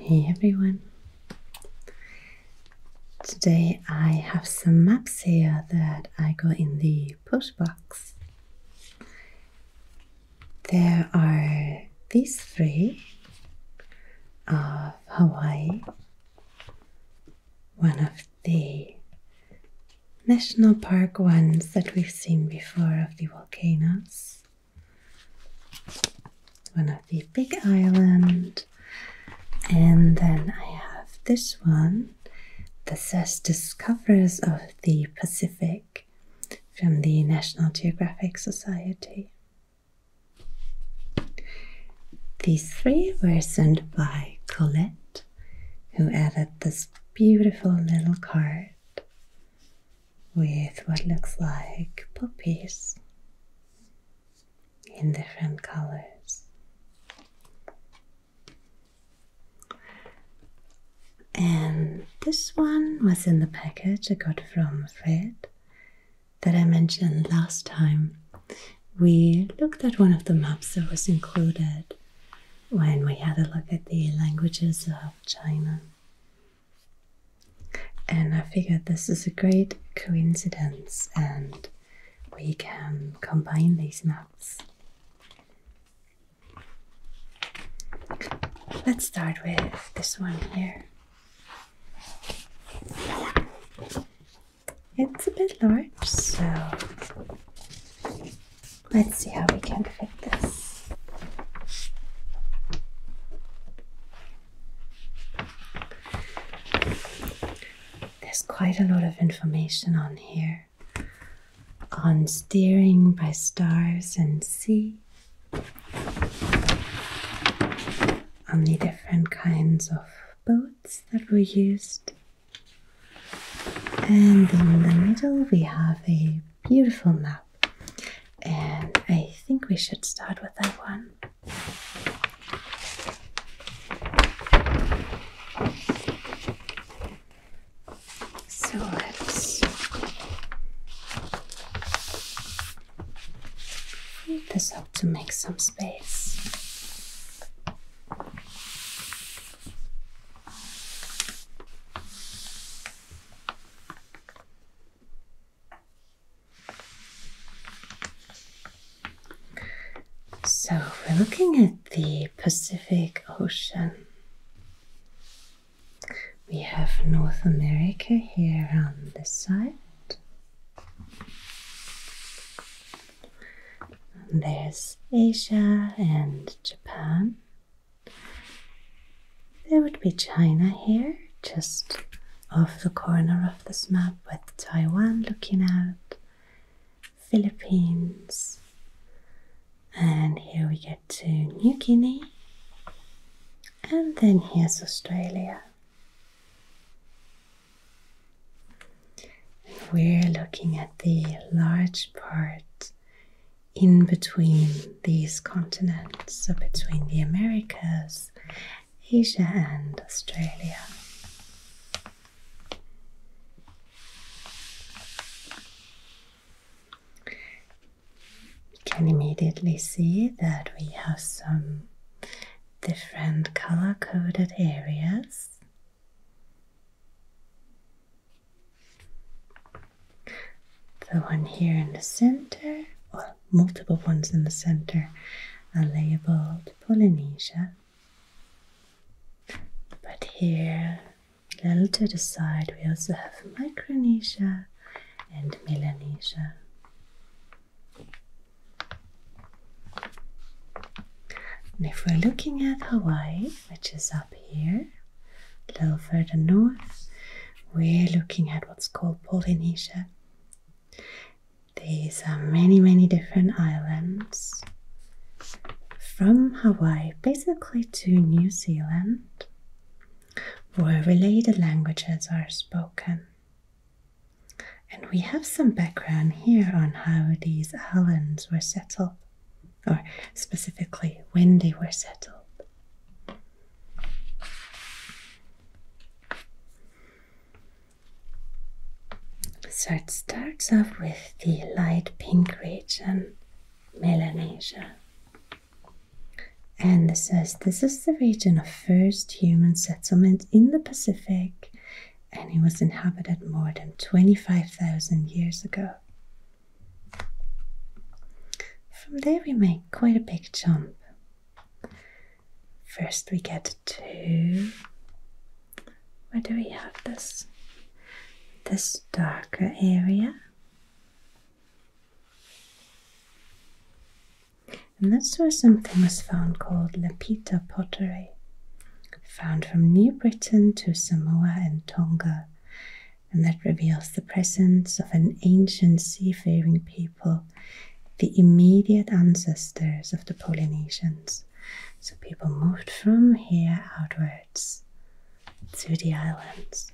Hey everyone! Today I have some maps here that I got in the push box. There are these three of Hawaii, one of the national park ones that we've seen before of the volcanoes one of the big island and then i have this one that says discoverers of the pacific from the national geographic society these three were sent by colette who added this beautiful little card with what looks like puppies in different colors. And this one was in the package I got from Fred that I mentioned last time. We looked at one of the maps that was included when we had a look at the languages of China. And I figured this is a great coincidence, and we can combine these maps. Let's start with this one here. It's a bit large, so let's see how we can fit this. There's quite a lot of information on here on steering by stars and sea, on the different kinds of boats that were used. And in the middle, we have a beautiful map and I think we should start with that one. So let's move this up to make some space. So we're looking at the Pacific Ocean. We have North America here on this side. there's Asia and Japan there would be China here, just off the corner of this map with Taiwan looking at Philippines, and here we get to New Guinea, and then here's Australia. And we're looking at the large part in between these continents, so between the Americas, Asia, and Australia. You can immediately see that we have some different color coded areas the one here in the center, or multiple ones in the center, are labeled Polynesia. But here, a little to the side, we also have Micronesia and Melanesia. And if we're looking at Hawaii, which is up here, a little further north, we're looking at what's called Polynesia. These are many, many different islands from Hawaii basically to New Zealand where related languages are spoken. And we have some background here on how these islands were settled, or specifically when they were settled. So it starts off with the light pink region, Melanesia. And this says this is the region of first human settlement in the Pacific, and it was inhabited more than 25,000 years ago. From there, we make quite a big jump. First, we get to where do we have this? This darker area. And that's where something was found called Lapita pottery, found from New Britain to Samoa and Tonga, and that reveals the presence of an ancient seafaring people, the immediate ancestors of the Polynesians. So people moved from here outwards to the islands.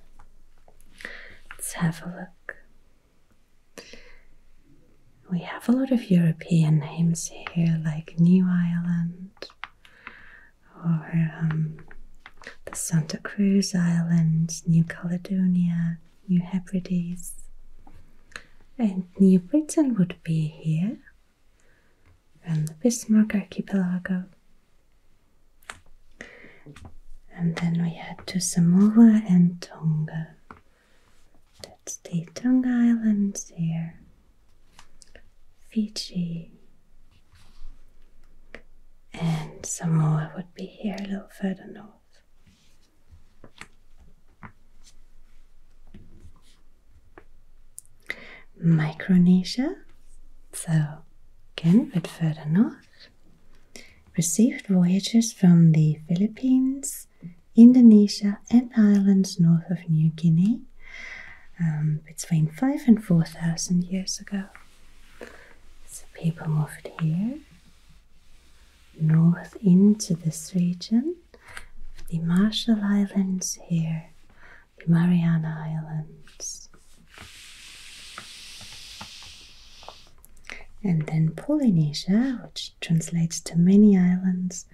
Let's have a look. We have a lot of European names here, like New Island or um, the Santa Cruz Islands, New Caledonia, New Hebrides, and New Britain would be here, and the Bismarck Archipelago. And then we head to Samoa and Tonga. That's the Tonga Islands here, Fiji. And Samoa would be here a little further north. Micronesia, so again a bit further north, received voyages from the Philippines, Indonesia, and islands north of New Guinea um, between 5 and 4,000 years ago. So people moved here north into this region, the Marshall Islands here, the Mariana Islands. And then Polynesia, which translates to many islands,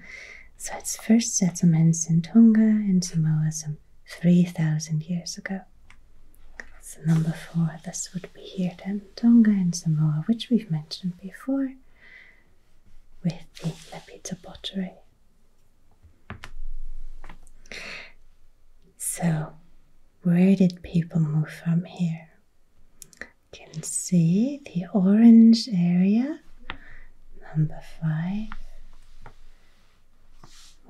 So its first settlements in Tonga and Samoa some 3,000 years ago. So number four. This would be here then Tonga and Samoa, which we've mentioned before with the Lepita pottery. So, where did people move from here? You can see the orange area, number five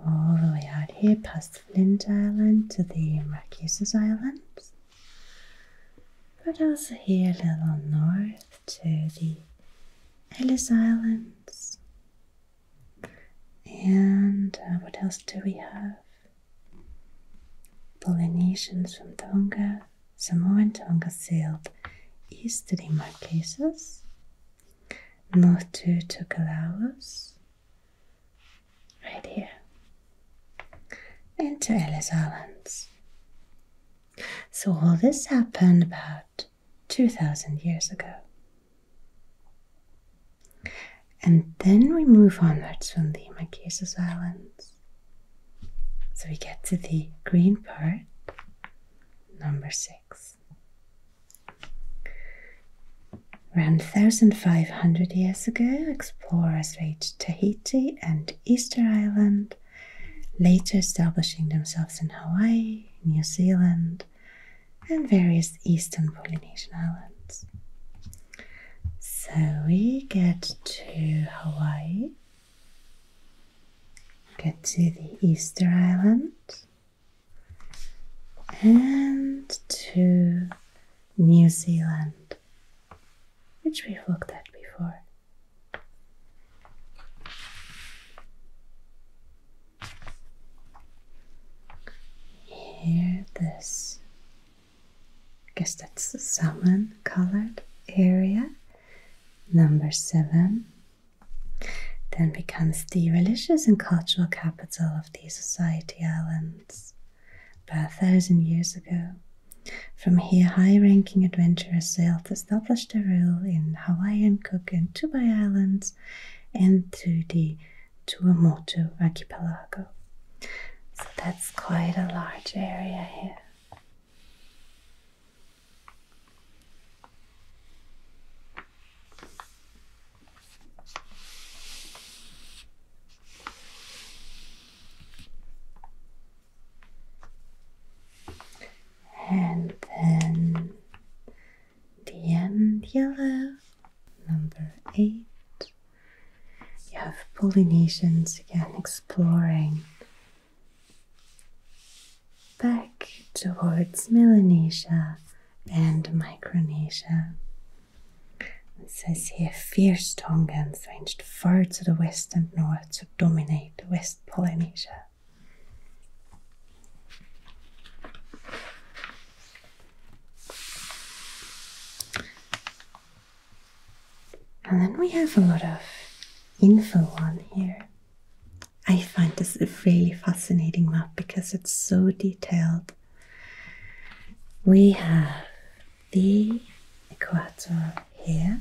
all the way out here past the Flint Island to the Macassar Islands, but also here a little north to the Ellis Islands. And uh, what else do we have? Polynesians from Tonga, Samoa and Tonga sailed east to the Marquesas, north to Tokelauas, right here into Ellis Islands. So all this happened about 2000 years ago. And then we move onwards from the Marquesas Islands. So we get to the green part, number six. Around 1,500 years ago, explorers reached Tahiti and Easter Island, later establishing themselves in Hawaii, New Zealand, and various eastern Polynesian islands. So we get to Hawaii, get to the Easter Island, and to New Zealand, which we've looked at before. Here, this, I guess that's the salmon colored area, number seven. Then becomes the religious and cultural capital of. These Society Islands about a thousand years ago. From here, high ranking adventurers sailed, established their rule in Hawaiian Cook and Tubai Islands and to the Tuamotu archipelago. So that's quite a large area here and then the end yellow number eight you have Polynesians again exploring back towards Melanesia and Micronesia it says here fierce Tongans ranged far to the west and north to dominate West Polynesia. And then we have a lot of info on here. I find this a really fascinating map because it's so detailed we have the equator here.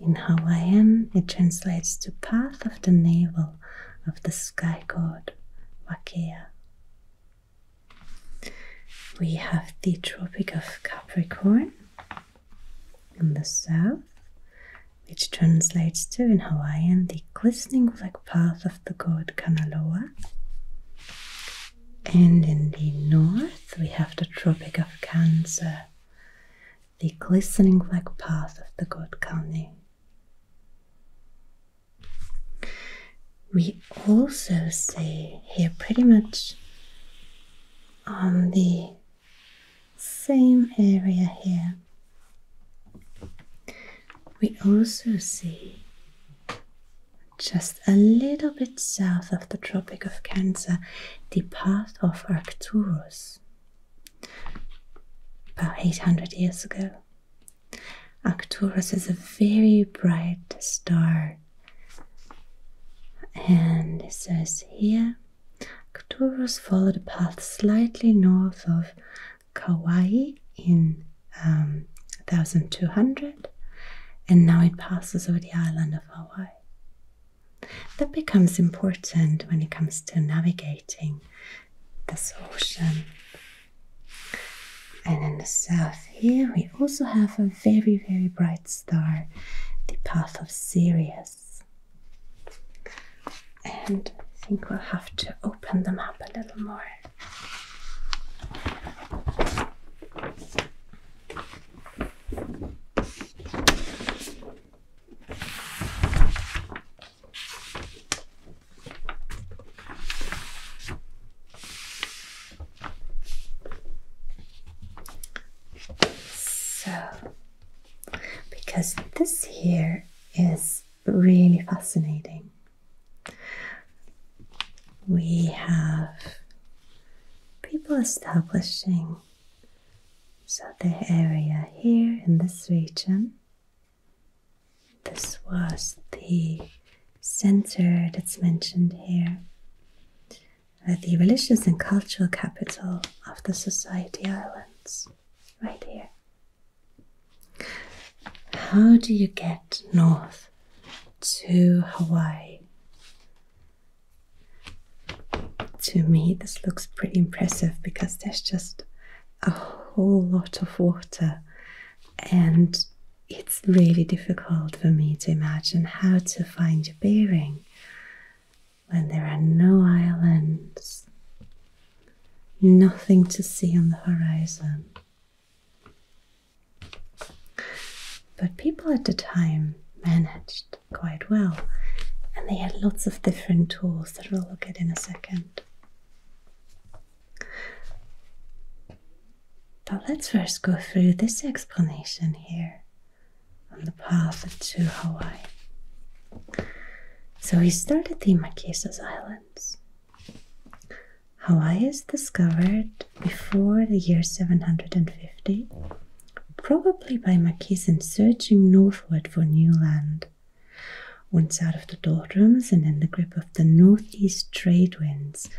In Hawaiian, it translates to path of the navel of the sky god Wakea. We have the Tropic of Capricorn in the south, which translates to in Hawaiian the glistening black path of the god Kanaloa. And in the north, we have the Tropic of Cancer, the glistening black path of the god Kani. We also see here pretty much on the same area here we also see just a little bit south of the Tropic of Cancer the path of Arcturus about 800 years ago. Arcturus is a very bright star, and it says here Arcturus followed a path slightly north of Kauai in 1200, um, and now it passes over the island of Hawaii. That becomes important when it comes to navigating this ocean. And in the south here, we also have a very, very bright star, the path of Sirius. And I think we'll have to open them up a little more. So, because this here is but really fascinating. We have people establishing so the area here in this region. This was the center that's mentioned here, uh, the religious and cultural capital of the Society Islands, right here. How do you get north to Hawaii? To me, this looks pretty impressive because there's just a whole lot of water, and it's really difficult for me to imagine how to find your bearing when there are no islands, nothing to see on the horizon. But people at the time managed quite well, and they had lots of different tools that we'll look at in a second. But let's first go through this explanation here on the path to Hawaii. So we started the Marquesas Islands. Hawaii is discovered before the year 750, probably by Mackesan searching northward for new land. Once out of the doldrums and in the grip of the northeast trade winds,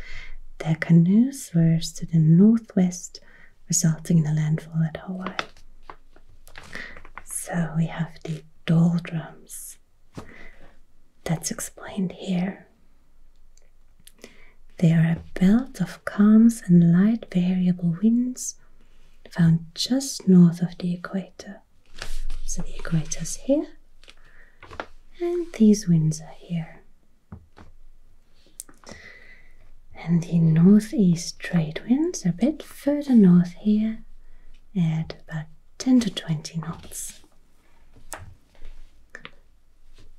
their canoes were to the northwest, resulting in a landfall at Hawaii. So we have the doldrums. That's explained here. They are a belt of calms and light variable winds found just north of the equator. So the equator is here, and these winds are here. And the northeast trade winds are a bit further north here at about 10 to 20 knots.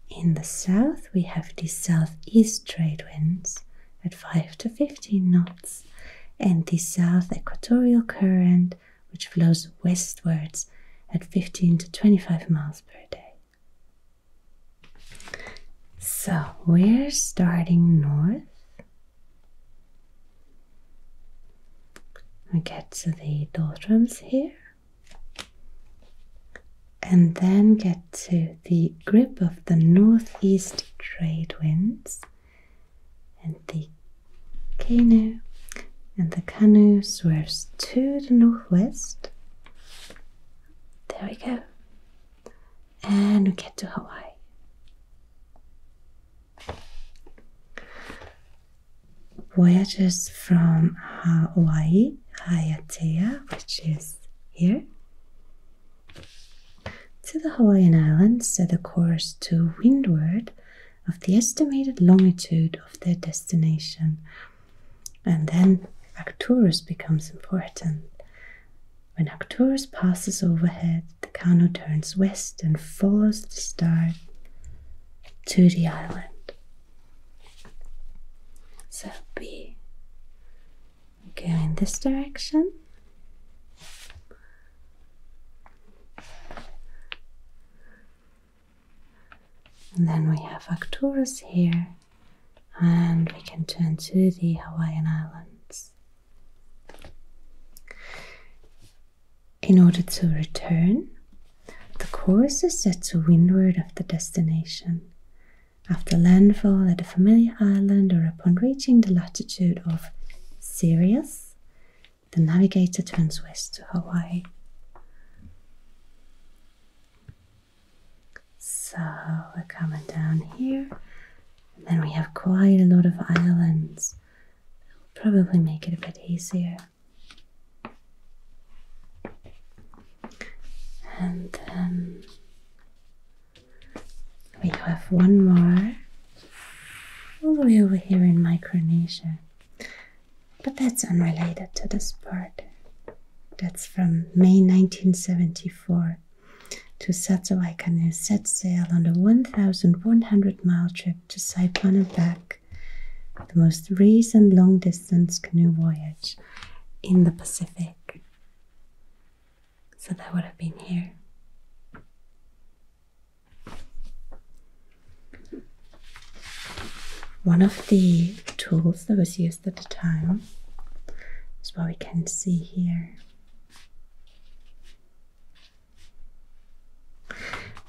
In the south, we have the southeast trade winds at 5 to 15 knots, and the south equatorial current, which flows westwards at 15 to 25 miles per day. So we're starting north I get to the doldrums here and then get to the grip of the northeast trade winds and the canoe and the canoe swerves to the northwest there we go and we get to Hawaii Voyages from Hawaii, Haiatea, which is here, to the Hawaiian Islands set a course to windward of the estimated longitude of their destination. And then Arcturus becomes important. When Arcturus passes overhead, the canoe turns west and follows the star to the island. So we go in this direction. And then we have Arcturus here, and we can turn to the Hawaiian Islands. In order to return, the course is set to windward of the destination. After landfall at a familiar island or upon reaching the latitude of Sirius, the navigator turns west to Hawaii. So we're coming down here, and then we have quite a lot of islands That'll probably make it a bit easier. And then um, we have one more all the way over here in Micronesia. But that's unrelated to this part. That's from May 1974 to Sato Aikane set sail on the 1,100 mile trip to Saipan and back the most recent long distance canoe voyage in the Pacific. So that would have been here. One of the tools that was used at the time is what we can see here.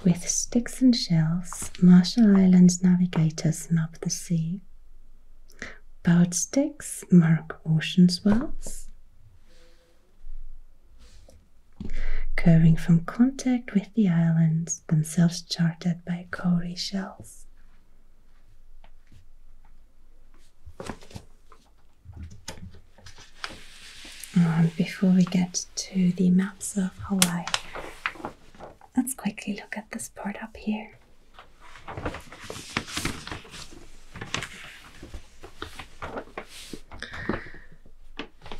With sticks and shells, Marshall Island navigators map the sea. Bowed sticks mark ocean swells. Curving from contact with the islands, themselves charted by coral shells. And before we get to the maps of Hawaii, let's quickly look at this part up here.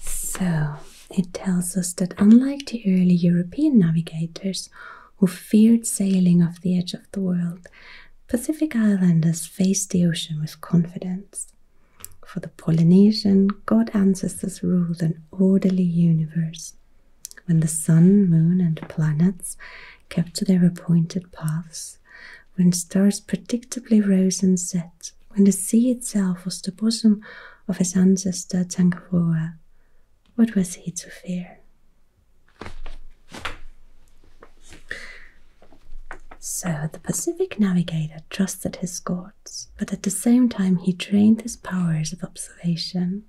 So it tells us that unlike the early European navigators who feared sailing off the edge of the world, Pacific Islanders faced the ocean with confidence. For the Polynesian, god ancestors ruled an orderly universe when the sun, moon, and planets kept to their appointed paths, when stars predictably rose and set, when the sea itself was the bosom of his ancestor Tangaroa, what was he to fear? So the Pacific navigator trusted his god, but at the same time, he trained his powers of observation.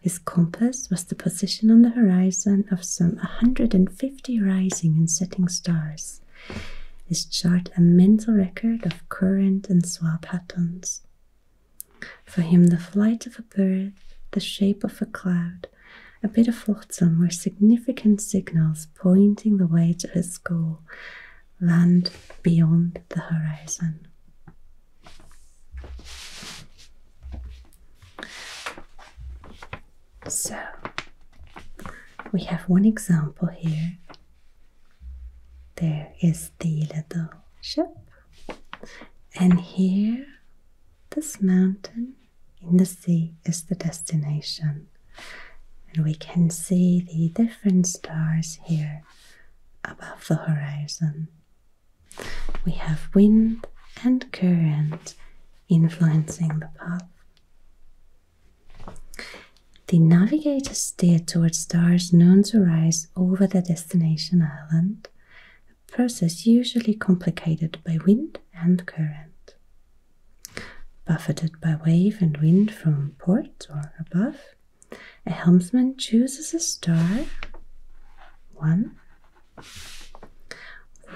His compass was the position on the horizon of some a 150 rising and setting stars. His chart a mental record of current and swell patterns. For him, the flight of a bird, the shape of a cloud, a bit of flotsam were significant signals pointing the way to his goal, land beyond the horizon. So, we have one example here. There is the little ship, and here, this mountain in the sea is the destination. And we can see the different stars here above the horizon. We have wind and current influencing the path. The navigator steered towards stars known to rise over the destination island, a process usually complicated by wind and current. Buffeted by wave and wind from port or above, a helmsman chooses a star, one,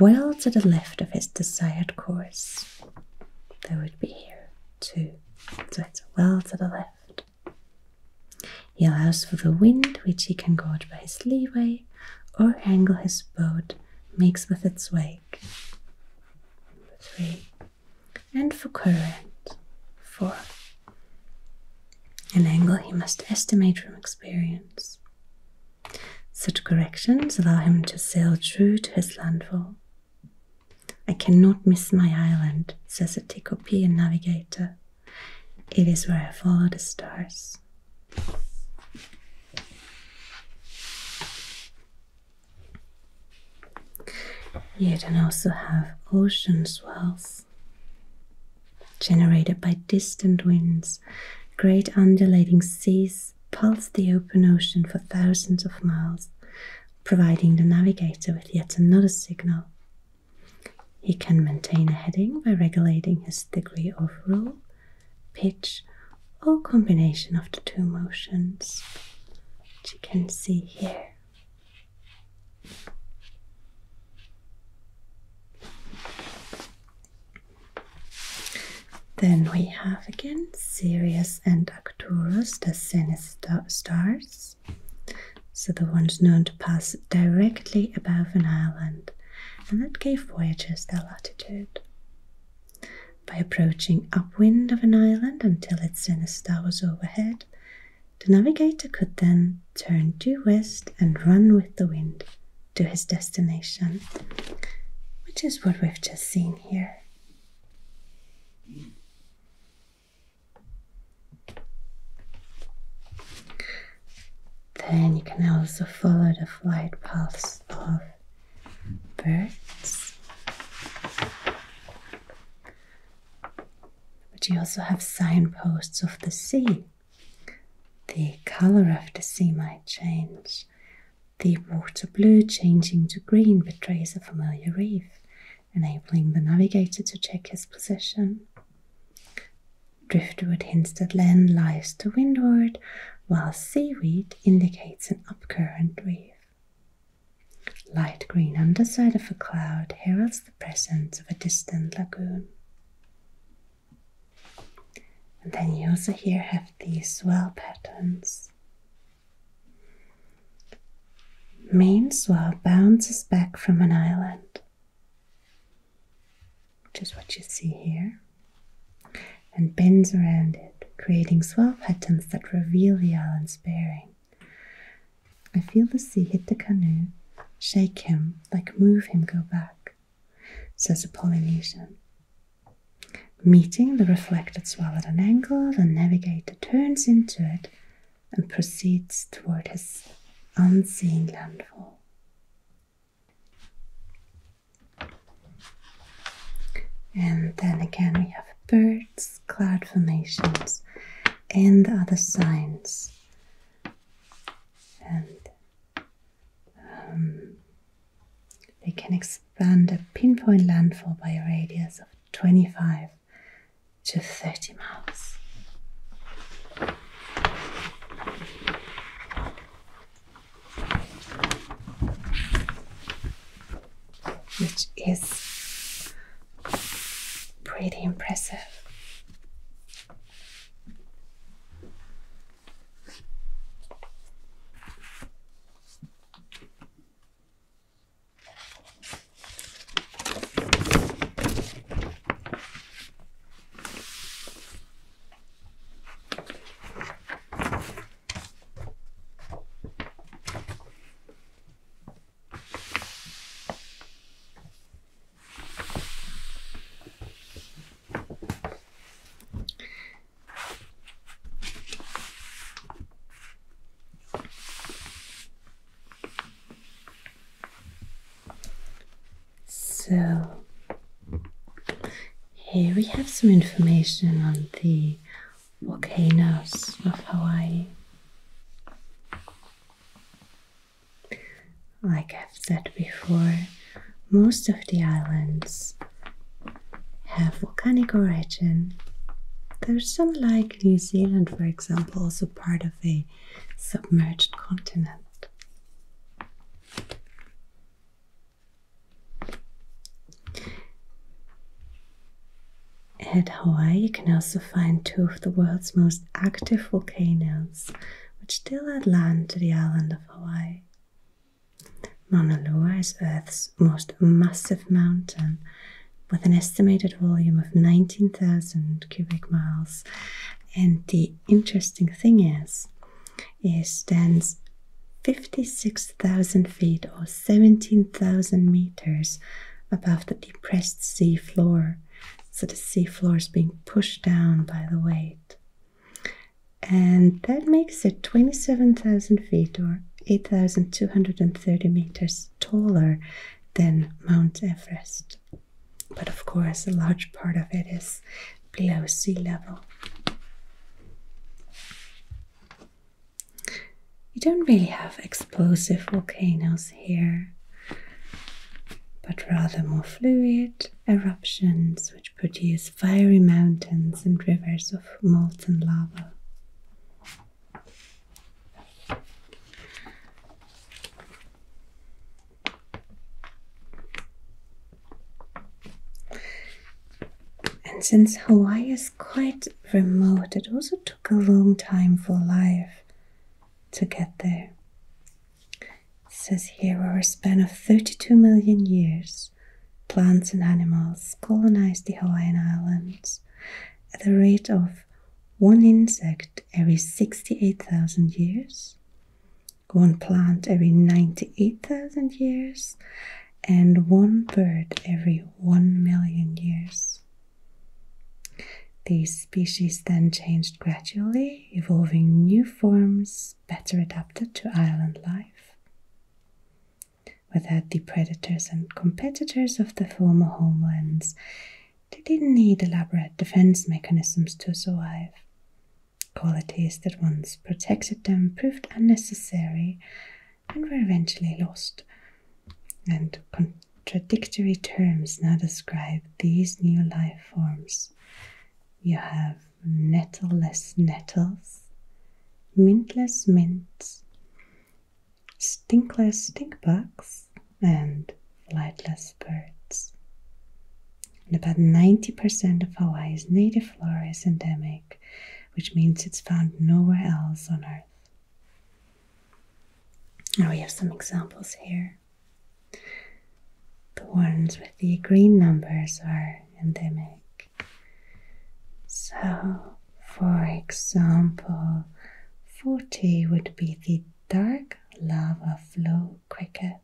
well to the left of his desired course. That would be here, two. So it's well to the left. He allows for the wind, which he can guard by his leeway or angle his boat makes with its wake. three and for current, for an angle he must estimate from experience. Such corrections allow him to sail true to his landfall. I cannot miss my island, says a Tikopian navigator. It is where I follow the stars. You then also have ocean swells generated by distant winds. Great undulating seas pulse the open ocean for thousands of miles, providing the navigator with yet another signal. He can maintain a heading by regulating his degree of roll, pitch, or combination of the two motions, which you can see here. Then we have again Sirius and Arcturus, the sinister stars. So the ones known to pass directly above an island, and that gave voyagers their latitude. By approaching upwind of an island until its zenith star was overhead, the navigator could then turn due west and run with the wind to his destination, which is what we've just seen here. Then you can also follow the flight paths of birds. But you also have signposts of the sea. The color of the sea might change. The water blue changing to green betrays a familiar reef, enabling the navigator to check his position. Driftwood hints that land lies to windward, while seaweed indicates an upcurrent reef. Light green underside of a cloud heralds the presence of a distant lagoon. And then you also here have these swell patterns. Main swell bounces back from an island, which is what you see here and bends around it, creating swell patterns that reveal the island's bearing. I feel the sea hit the canoe, shake him, like move him, go back, says the Polynesian. Meeting the reflected swell at an angle, the navigator turns into it and proceeds toward his unseen landfall. And then again, we have birds, cloud formations, and the other signs. And um, they can expand a pinpoint landfall by a radius of 25 to 30 miles which is pretty impressive. So, here we have some information on the volcanoes of Hawaii. Like I've said before, most of the islands have volcanic origin. There's some, like New Zealand, for example, also part of a submerged continent. At Hawaii, you can also find two of the world's most active volcanoes, which still add land to the island of Hawaii. Mauna Loa is Earth's most massive mountain, with an estimated volume of 19,000 cubic miles. And the interesting thing is, it stands 56,000 feet or 17,000 meters above the depressed sea floor. So the sea floor is being pushed down by the weight. And that makes it 27,000 feet or 8,230 meters taller than Mount Everest. But of course, a large part of it is below sea level. You don't really have explosive volcanoes here, but rather more fluid eruptions which produce fiery mountains and rivers of molten lava. And since Hawaii is quite remote. It also took a long time for life to get there. It says here over a span of 32 million years, plants and animals colonized the Hawaiian Islands at the rate of one insect every 68,000 years, one plant every 98,000 years, and one bird every one million years. These species then changed gradually, evolving new forms better adapted to island life. Without the predators and competitors of the former homelands, they didn't need elaborate defense mechanisms to survive. Qualities that once protected them proved unnecessary and were eventually lost. And contradictory terms now describe these new life forms. You have nettleless nettles, mintless mints, stinkless stinkbugs, and flightless birds. And about 90% of Hawaii's native flora is endemic, which means it's found nowhere else on Earth. And we have some examples here. The ones with the green numbers are endemic. So, for example, 40 would be the dark lava flow cricket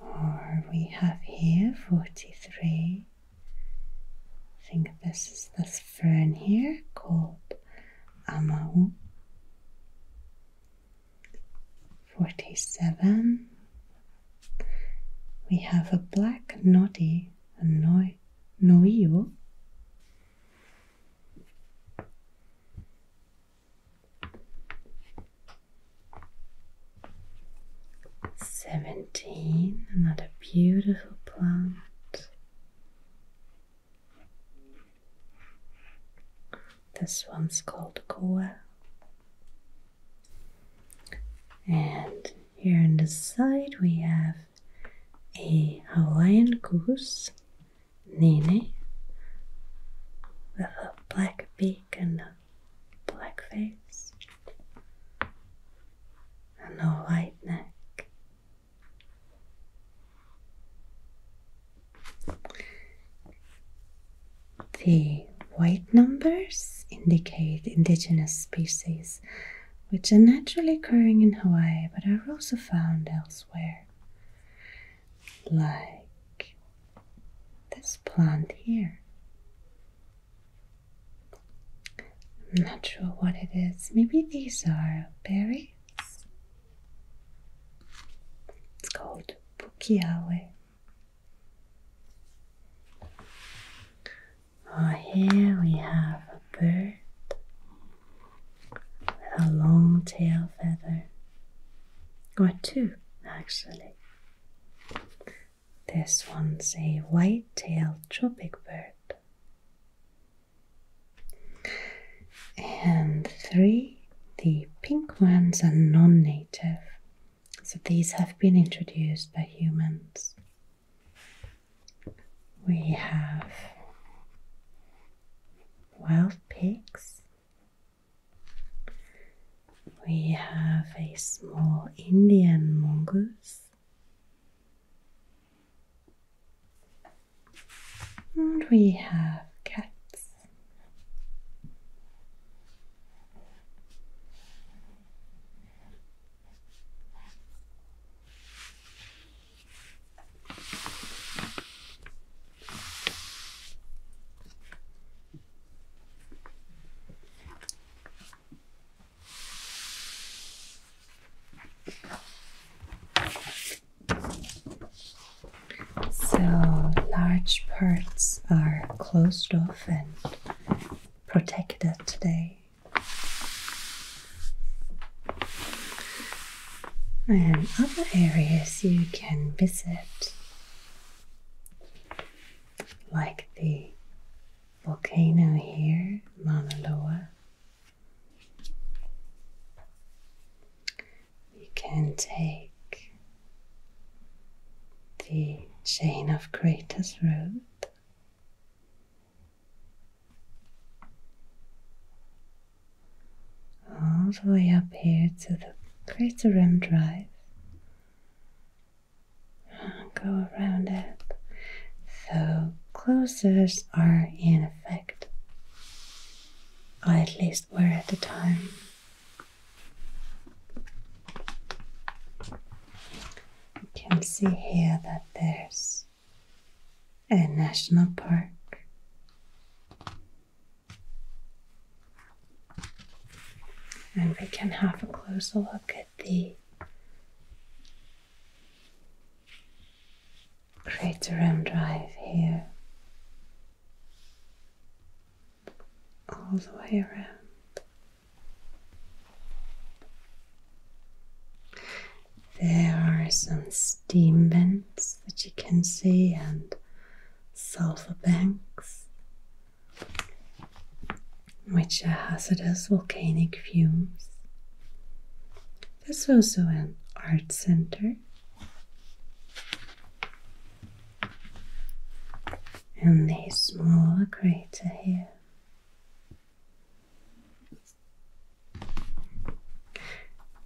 or we have here 43 I think this is this fern here called Amau 47 we have a black noddy Noi, no, noio Seventeen, another beautiful plant. This one's called Koa. And here on the side we have a Hawaiian goose, Nene, with a black beak and a black face, and no white neck. The white numbers indicate indigenous species which are naturally occurring in Hawaii but are also found elsewhere. Like this plant here. I'm not sure what it is. Maybe these are berries? It's called Pukiawe. Oh, here we have a bird with a long tail feather, or two actually. This one's a white-tailed tropic bird. And three, the pink ones are non-native. So these have been introduced by humans. We have wild pigs, we have a small Indian mongoose. And we have cats. So large parts are closed off and protected today. And other areas you can visit, like the volcano here, Mauna Loa. You can take the chain of craters road. All the way up here to the Crater Rim Drive Go around it. So closers are in effect, or at least were at the time. You can see here that there's a national park. And we can have a closer look at the crater Craterham Drive here, all the way around. There are some steam vents that you can see, and sulfur banks which are hazardous volcanic fumes. There's also an art center. And a smaller crater here.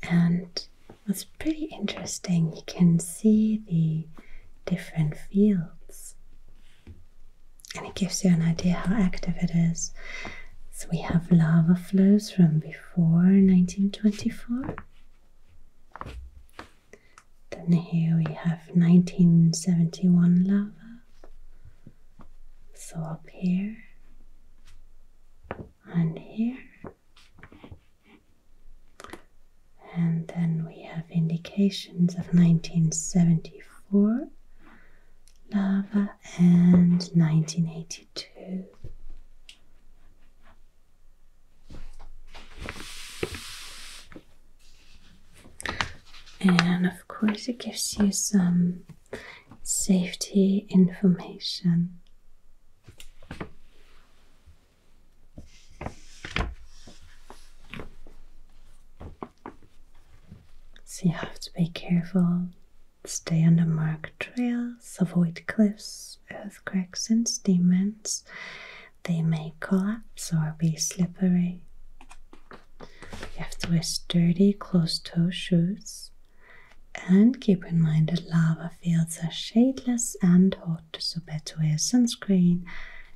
And what's pretty interesting, you can see the different fields and it gives you an idea how active it is. So we have lava flows from before 1924. Then here we have 1971 lava. So up here and here and then we have indications of 1974 lava and 1982 and of course it gives you some safety information so you have to be careful, stay on the marked trails, avoid cliffs, earthquakes, and steam vents. They may collapse or be slippery. You have to wear sturdy, closed toe shoes. And keep in mind that lava fields are shadeless and hot, so be sure to wear sunscreen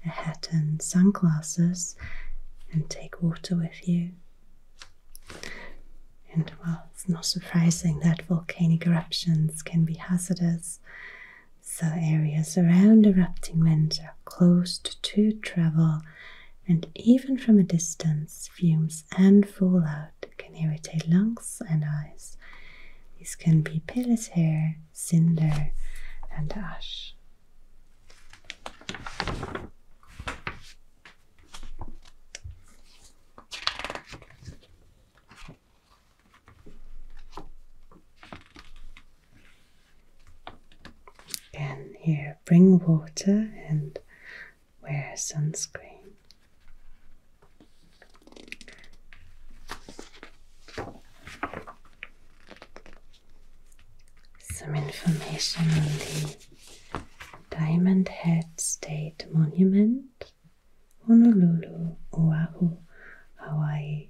a hat and sunglasses and take water with you. And well, it's not surprising that volcanic eruptions can be hazardous, so areas around erupting vents are closed to travel, and even from a distance, fumes and fallout can irritate lungs and eyes. These can be pale as hair, cinder, and ash. Again, here bring water and wear sunscreen some information on the Diamond Head State Monument, Honolulu, Oahu, Hawaii.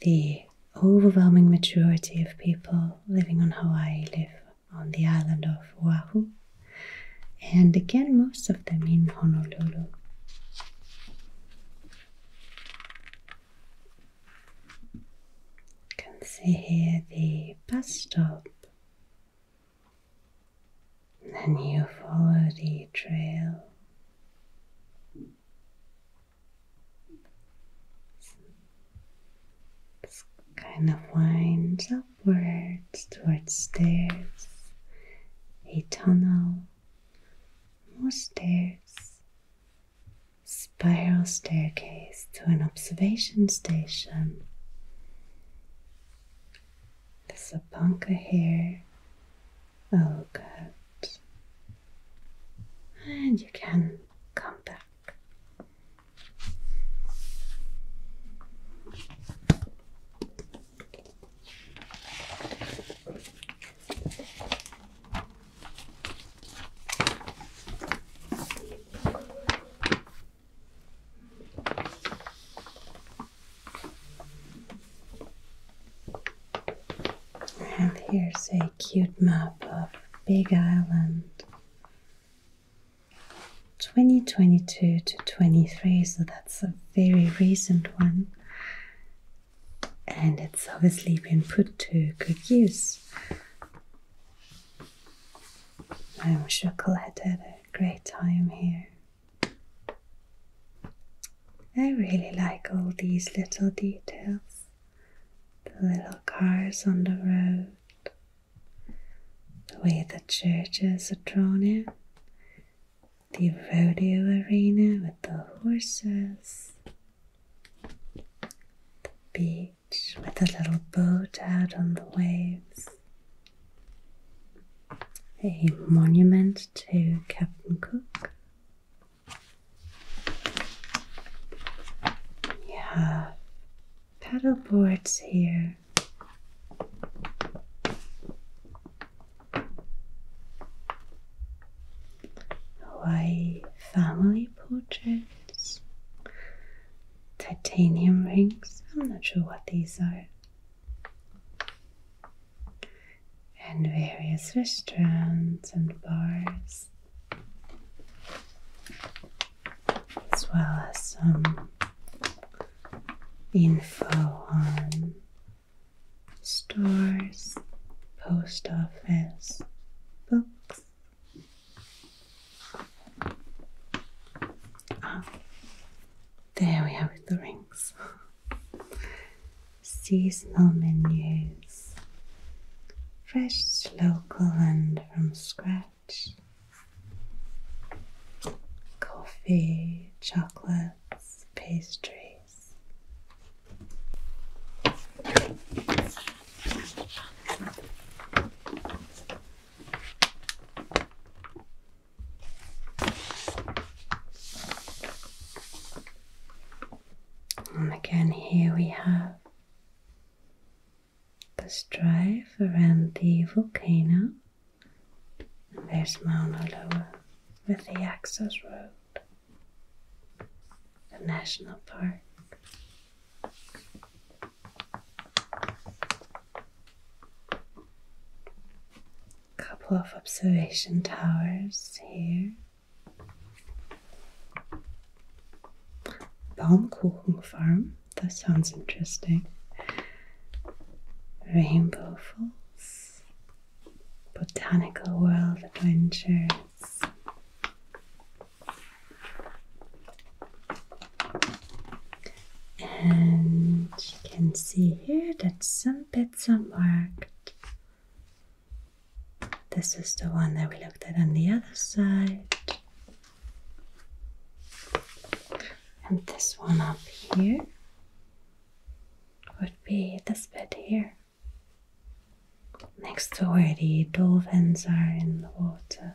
The overwhelming majority of people living on Hawaii live on the island of Oahu, and again, most of them in Honolulu. You can see here the bus stop. Then you follow the trail. This kind of winds upwards towards stairs, a tunnel, more stairs, spiral staircase to an observation station. The a bunker here. Oh, good. And you can come back. And here's a cute map of Big Island 2022 to 23, so that's a very recent one and it's obviously been put to good use. I'm sure Colette had a great time here. I really like all these little details the little cars on the road, the way the churches are drawn in, the rodeo arena with the horses, the beach with a little boat out on the waves, a monument to Captain Cook. You have boards here. Hawaii family portraits, titanium rings. I'm not sure what these are. And various restaurants and bars, as well as some info on stores, post office, books. Ah, there we are with the rings. Seasonal menus, fresh, local, and from scratch. Coffee, chocolates, pastry. And again, here we have the strife around the volcano. And there's Mauna Loa with the access road the national park. Couple of observation towers here. Baumkuchen farm, that sounds interesting. Rainbow falls, Botanical World Adventures. And you can see here that some bits are marked. This is the one that we looked at on the other side. And this one up here would be this bit here next to where the dolphins are in the water.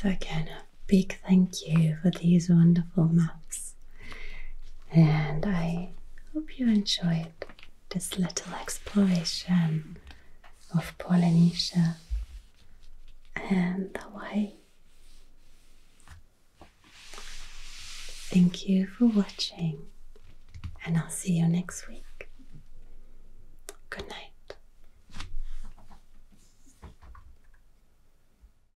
So again, a big thank you for these wonderful maps, and I hope you enjoyed this little exploration of Polynesia and Hawaii. Thank you for watching, and I'll see you next week. Good night.